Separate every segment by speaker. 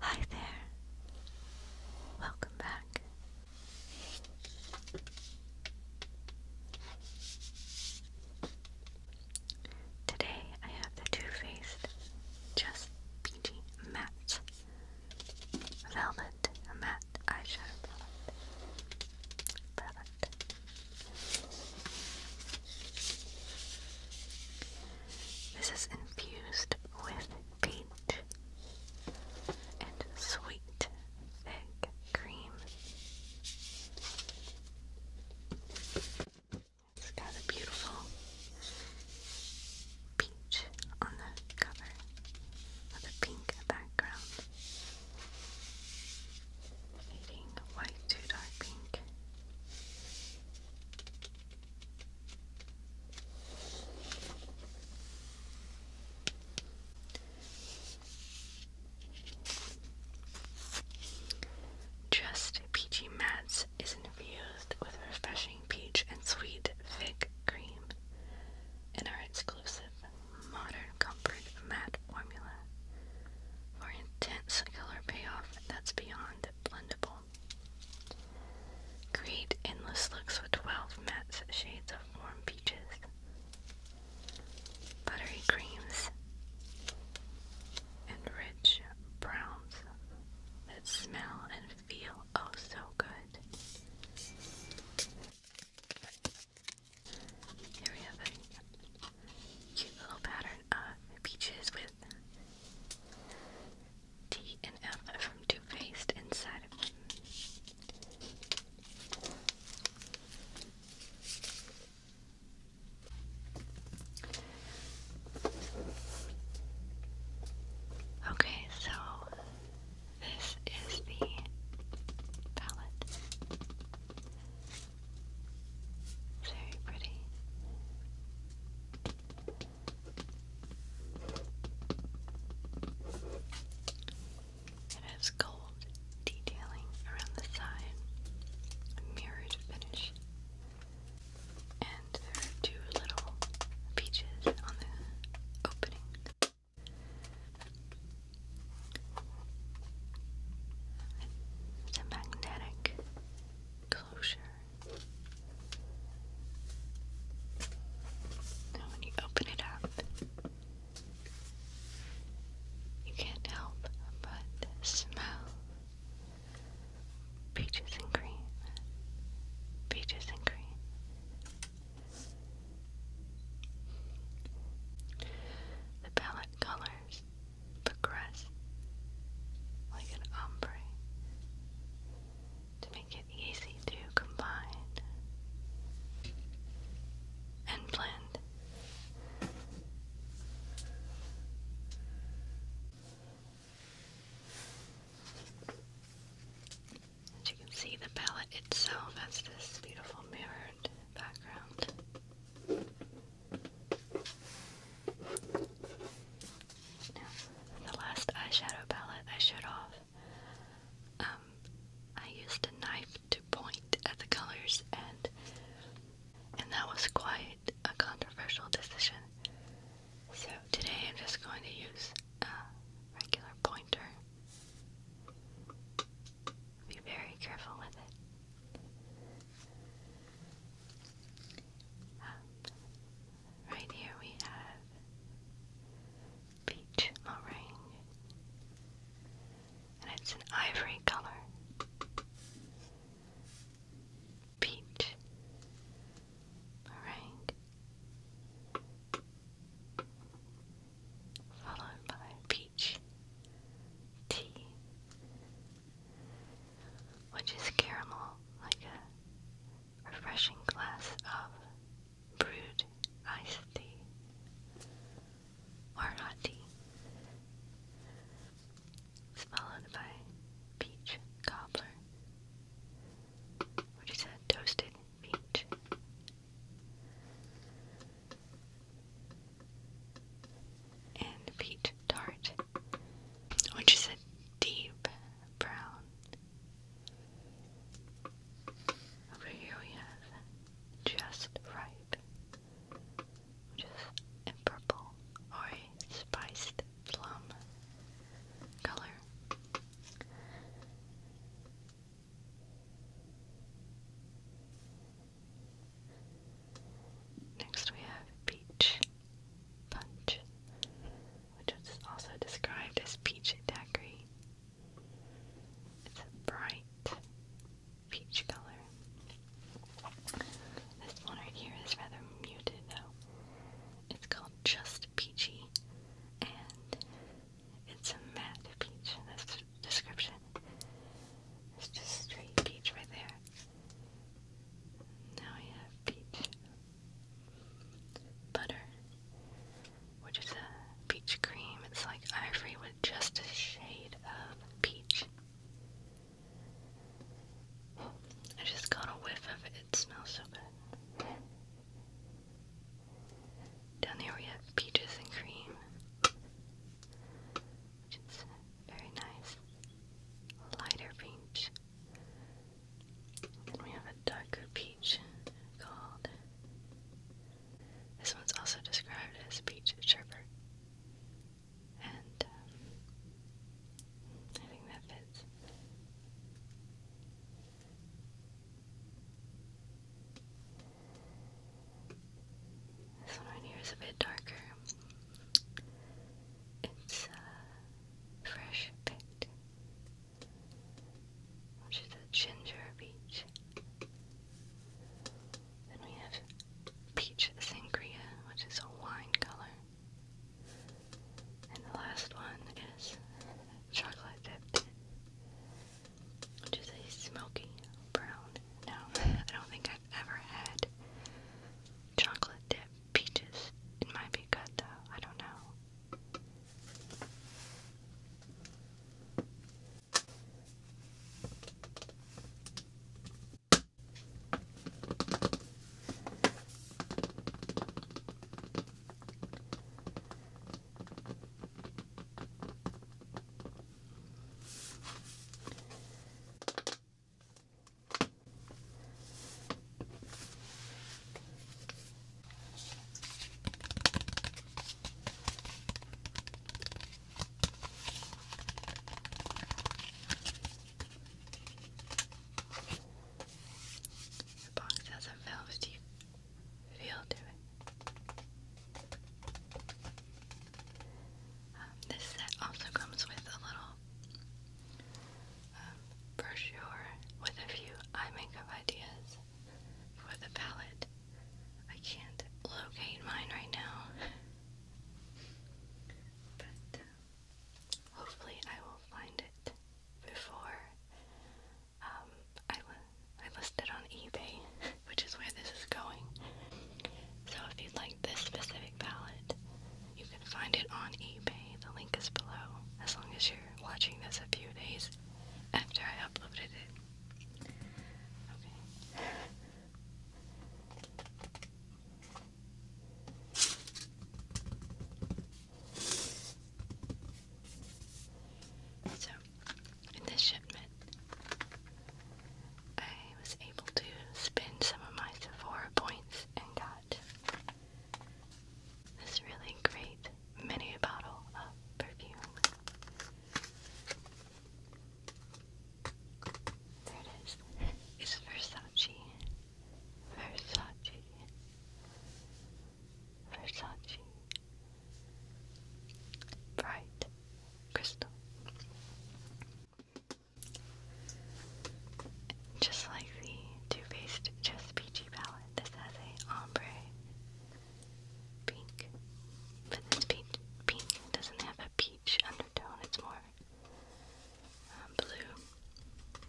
Speaker 1: Hi there. Welcome back. Today I have the Too Faced Just Peachy Matte Velvet Matte Eyeshadow Product. This is infused with peach and sweet, thick cream. It's got a beautiful peach on the cover with a pink background. Fading white to dark pink. Just Peachy Mats is infused with refreshing peach and sweet fig cream in our exclusive modern comfort matte formula for intense color payoff that's beyond blendable. Create endless looks with 12 matte shades of warm peaches, buttery creams, and rich browns that smell and feel oh so good. Here we have a Cute little pattern of peaches with T and F from Too Faced inside of them. Okay, so this is the palette. Very pretty. It has gold detailing around the side, mirrored finish, and two little peaches on the opening. It's magnetic closure. Now, when you open it up, you can't help but smell peaches and cream. Peaches and cream. The palette colors progress like an ombre to make it easy to combine and blend. As you can see, the palette itself has this beautiful mirrored background the last eyeshadow palette I showed off, um, I used a knife to point at the colors, and and that was quite a controversial decision. So today I'm just going to use a regular pointer. Be very careful with it. Um, right here we have peach meringue, and it's an ivory color. Peach meringue followed by peach tea, which is caramel, like a refreshing glass of brewed iced tea or hot tea. It's followed by peach cobbler, which is toasted peach and peach tart, which is a deep brown. Over here we have just ripe, which is a purple or a spiced plum color. Next we have peach punch, which is also described as peachy daiquiri. It's a bright peach color. This one right here is rather muted It's called Just Peachy, it's a matte peach in this description. It's just straight peach right there. Now we have peach butter, which is a peach cream. It's like ivory with just a shade of peach. I just got a whiff of it. It smells so good. Down there we have peaches and cream, very nice lighter peach. And we have a darker peach called. This one's also described as peach sherbet, and um, I think that fits. This one right here is a bit darker. It's uh, fresh picked, which is a ginger peach. Then we have peach sangria, which is a wine color. And the last one is chocolate dipped which is a smoky brown. Now, I don't think I've ever had chocolate dip peaches. It might be good though, I don't know. The box has a valve feel to it. Um, this set also comes with a little um, brochure with a few eye makeup ideas for the palette. I can't locate mine right now, but um, hopefully I will find it before um, I, I listed on eBay, which is where this is going. So if you'd like this specific palette, you can find it on eBay. The link is below, as long as you're watching this a few days after I uploaded it. Okay. So, in this shipment, I was able to spend some of my Sephora points and got this really great mini bottle of perfume. There it is. It's Versace. Versace, Versace, bright crystal. Just like the Too Faced Just Peachy palette, this has a ombre pink, but this peach, pink doesn't have a peach undertone. It's more um, blue,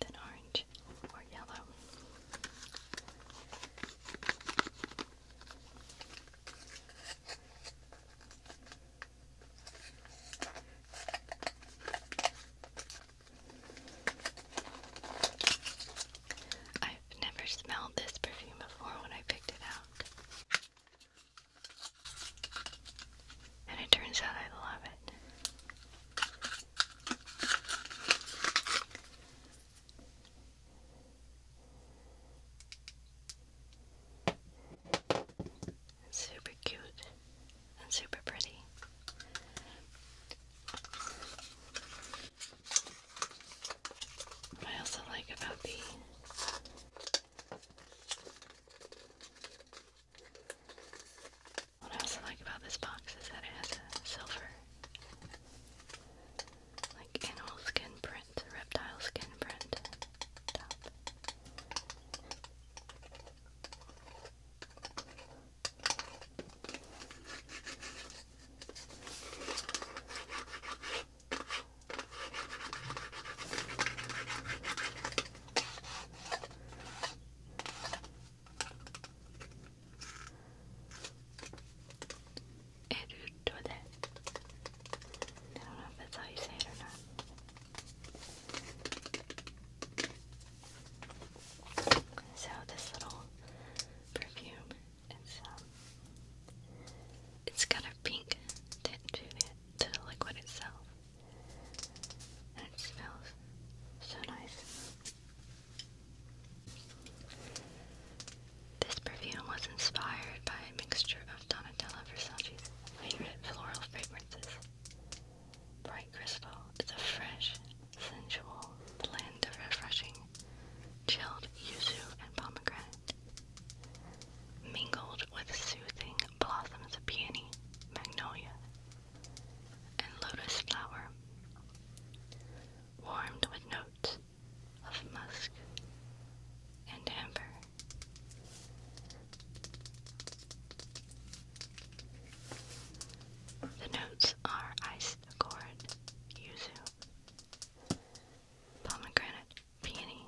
Speaker 1: then orange or yellow. I've never smelled this perfume before when I picked it out. And it turns out I love it. super cute super pretty. I also like about the what I also like about this box is that it has a silver, like animal skin print, reptile skin print Erudole. I don't know if that's how you say it or not. So this little perfume, it's um, it's got a pink tint to it to the liquid itself. And it smells so nice. This perfume was inspired by a mixture of Donatella Versace's favorite floral fragrances. Bright Crystal is a fresh, sensual blend of refreshing chilled yuzu and pomegranate mingled with soothing blossoms of peony, magnolia, and lotus flower, warmed with notes of musk and amber. The notes are ice accord, yuzu, pomegranate, peony,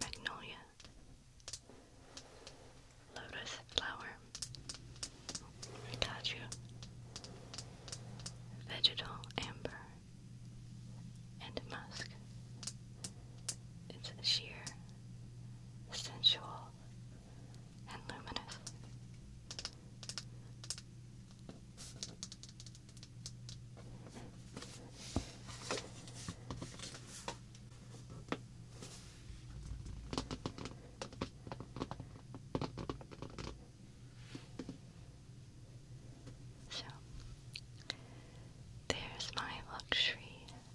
Speaker 1: magnolia, lotus flower, rataju, vegetal amber, and musk. It's sheer, sensual, and luminous. So, there's my luxury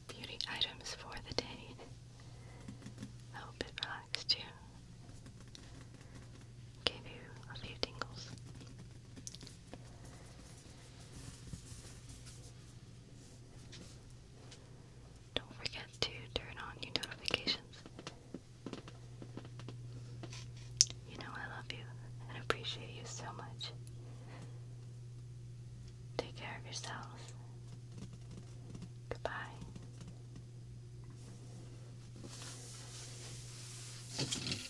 Speaker 1: beauty items for the day. I hope it relaxed you, gave you a few tingles. Don't forget to turn on your notifications. You know I love you and appreciate you so much. Take care of yourselves. Goodbye.